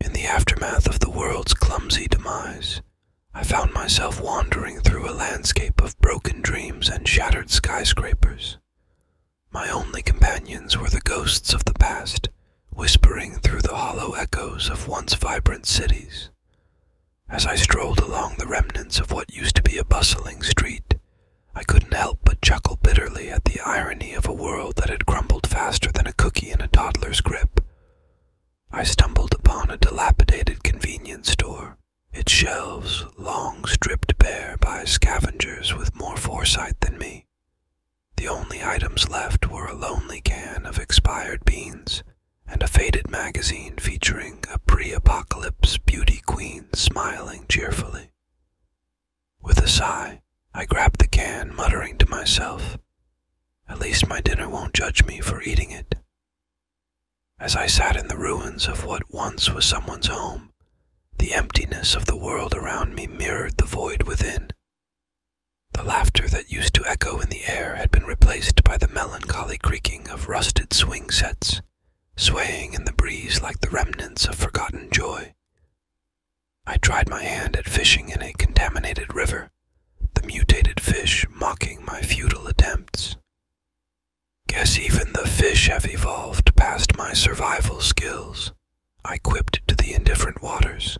In the aftermath of the world's clumsy demise, I found myself wandering through a landscape of broken dreams and shattered skyscrapers. My only companions were the ghosts of the past, whispering through the hollow echoes of once vibrant cities. As I strolled along the remnants of what used to be a bustling street, I couldn't help but chuckle bitterly at the irony of a world that had crumbled faster than a cookie in a toddler's grip. I stumbled upon a dilapidated convenience store, its shelves long stripped bare by scavengers with more foresight than me. The only items left were a lonely can of expired beans and a faded magazine featuring a pre apocalypse beauty queen smiling cheerfully. With a sigh, I grabbed the can, muttering to myself, At least my dinner won't judge me for eating it. As I sat in the ruins of what once was someone's home, the emptiness of the world around me mirrored the void within. The laughter that used to echo in the air had been replaced by the melancholy creaking of rusted swing sets, swaying in the breeze like the remnants of forgotten joy. I tried my hand at fishing in a contaminated river, the mutated fish mocking my futile attempts. Guess even the fish have evolved past my survival skills, I quipped to the indifferent waters.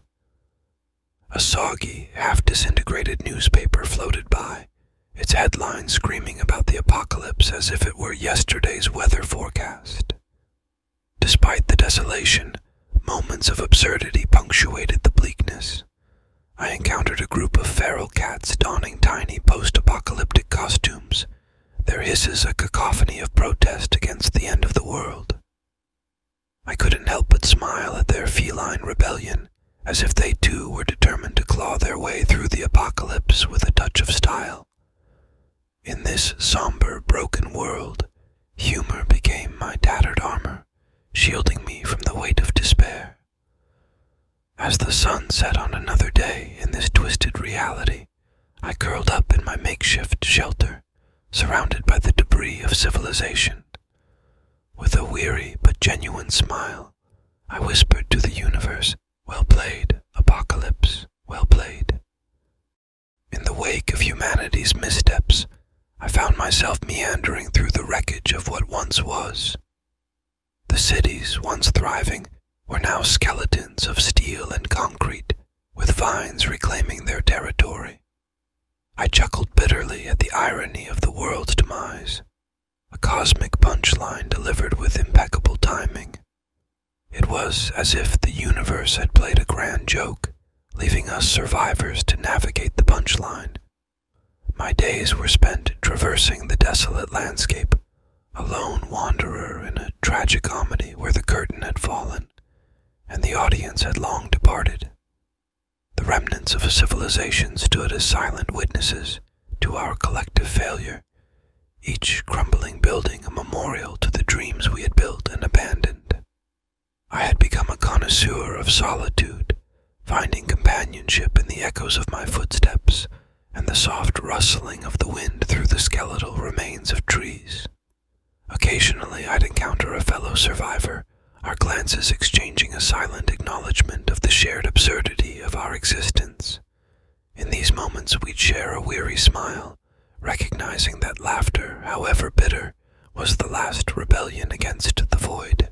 A soggy, half disintegrated newspaper floated by, its headlines screaming about the apocalypse as if it were yesterday's weather forecast. Despite the desolation, moments of absurdity punctuated the bleakness. I encountered a group of feral cats donning tiny post apocalyptic costumes, their hisses a cacophony of protest against the end of the world. I couldn't help but smile at their feline rebellion, as if they too were determined to claw their way through the apocalypse with a touch of style. In this somber, broken world, Humor became my tattered armor, shielding me from the weight of despair. As the sun set on another day in this twisted reality, I curled up in my makeshift shelter, surrounded by the debris of civilization. With a weary but genuine smile, I whispered to the universe, Well played, Apocalypse, well played. In the wake of humanity's missteps, I found myself meandering through the wreckage of what once was. The cities, once thriving, were now skeletons of steel and concrete, with vines reclaiming their territory. I chuckled bitterly at the irony of the world's demise, a cosmic punchline delivered with impeccable timing. It was as if the universe had played a grand joke leaving us survivors to navigate the punchline. My days were spent traversing the desolate landscape, a lone wanderer in a tragic comedy where the curtain had fallen and the audience had long departed. The remnants of a civilization stood as silent witnesses to our collective failure, each crumbling building a memorial to the dreams we had built and abandoned. I had become a connoisseur of solitude, finding companionship in the echoes of my footsteps and the soft rustling of the wind through the skeletal remains of trees. Occasionally I'd encounter a fellow survivor, our glances exchanging a silent acknowledgement of the shared absurdity of our existence. In these moments we'd share a weary smile recognizing that laughter, however bitter, was the last rebellion against the void.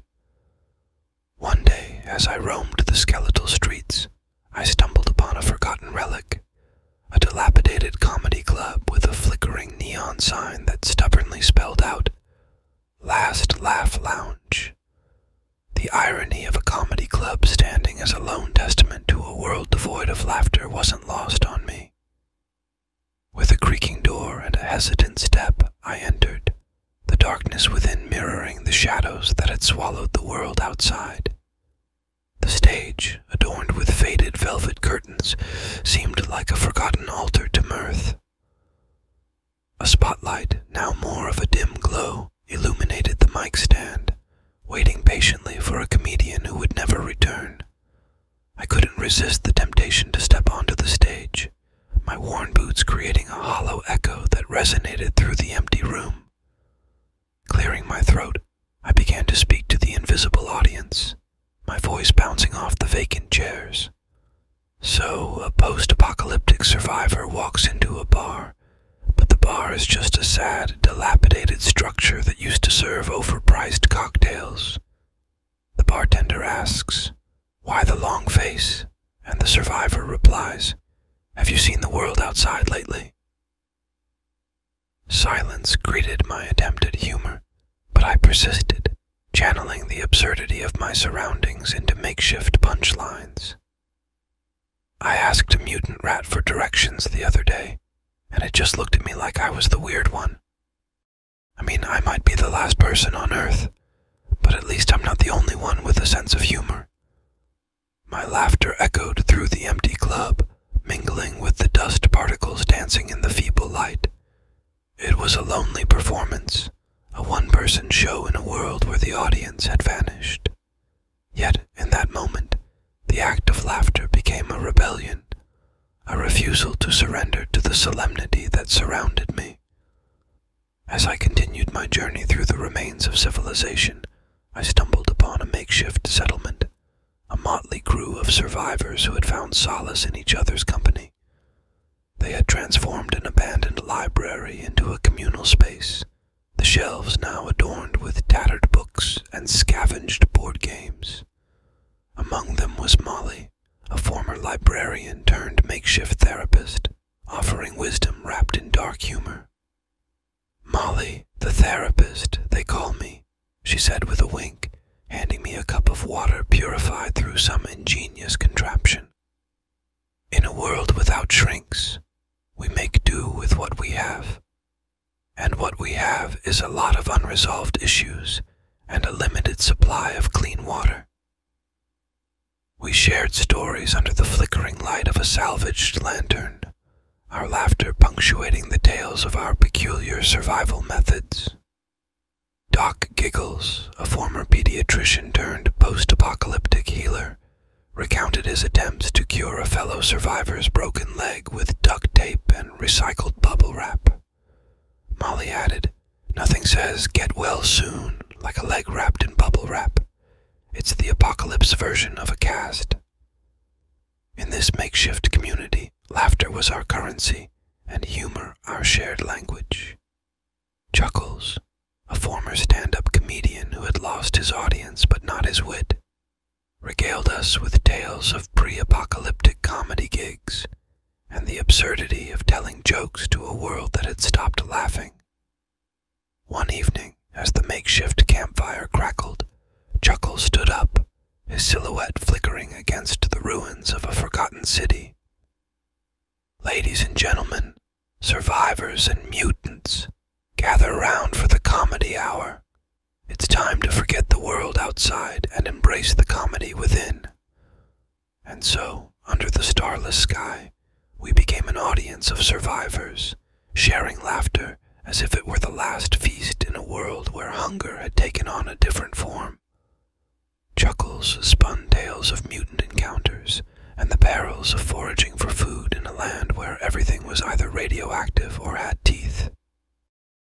One day, as I roamed the skeletal streets, I stumbled upon a forgotten relic, a dilapidated comedy club with a flickering neon sign that stubbornly spelled out, Last Laugh Lounge. The irony of a comedy club standing as a lone testament to a world devoid of laughter wasn't lost on me. With a creaking door and a hesitant step, I entered, the darkness within mirroring the shadows that had swallowed the world outside. The stage, adorned with faded velvet curtains, seemed like a forgotten altar to mirth. A spotlight, now more of a dim glow, illuminated the mic stand, waiting patiently for a comedian who would never return. I couldn't resist the temptation to step onto the stage, my worn boots creating a hollow echo that resonated through the empty room. Clearing my throat, I began to speak to the invisible audience, my voice bouncing off the vacant chairs. So, a post apocalyptic survivor walks into a bar, but the bar is just a sad, dilapidated structure that used to serve overpriced cocktails. The bartender asks, Why the long face? And the survivor replies, Have you seen the world outside lately? Silence greeted my attempt at humor, but I persisted, channeling the absurdity of my surroundings into makeshift punchlines. I asked a mutant rat for directions the other day, and it just looked at me like I was the weird one. I mean, I might be the last person on Earth, but at least I'm not the only one with a sense of humor. My laughter echoed through the empty club, mingling with the dust particles dancing in the feeble light. It was a lonely performance, a one person show in a world where the audience had vanished. Yet, in that moment, the act of laughter became a rebellion, a refusal to surrender to the solemnity that surrounded me. As I continued my journey through the remains of civilization, I stumbled upon a makeshift settlement, a motley crew of survivors who had found solace in each other's company. They had transformed an abandoned library into a communal space, the shelves now adorned with tattered books and scavenged board games. Among them was Molly, a former librarian turned makeshift therapist, offering wisdom wrapped in dark humor. Molly, the therapist, they call me, she said with a wink, handing me a cup of water purified through some ingenious contraption. In a world without shrinks, we make do with what we have. And what we have is a lot of unresolved issues and a limited supply of clean water. We shared stories under the flickering light of a salvaged lantern, our laughter punctuating the tales of our peculiar survival methods. Doc Giggles, a former pediatrician turned post apocalyptic healer, recounted his attempts to cure a fellow survivor's broken leg with duct tape and recycled bubble wrap. Molly added, Nothing says get well soon like a leg wrapped in bubble wrap. It's the apocalypse version of a cast. In this makeshift community, laughter was our currency, and humor our shared language. Chuckles, a former stand up comedian who had lost his audience but not his wit, regaled us with tales of pre apocalyptic comedy gigs and the absurdity of telling jokes to a world that had stopped laughing. One evening, as the makeshift campfire crackled, Chuckle stood up, his silhouette flickering against the ruins of a forgotten city. Ladies and gentlemen, survivors and mutants, gather round for the comedy hour, it's time to forget the world outside and embrace the comedy within. And so, under the starless sky, we became an audience of survivors, sharing laughter as if it were the last feast in a world where hunger had taken on a different form. Chuckles spun tales of mutant encounters and the perils of foraging for food in a land where everything was either radioactive or had teeth.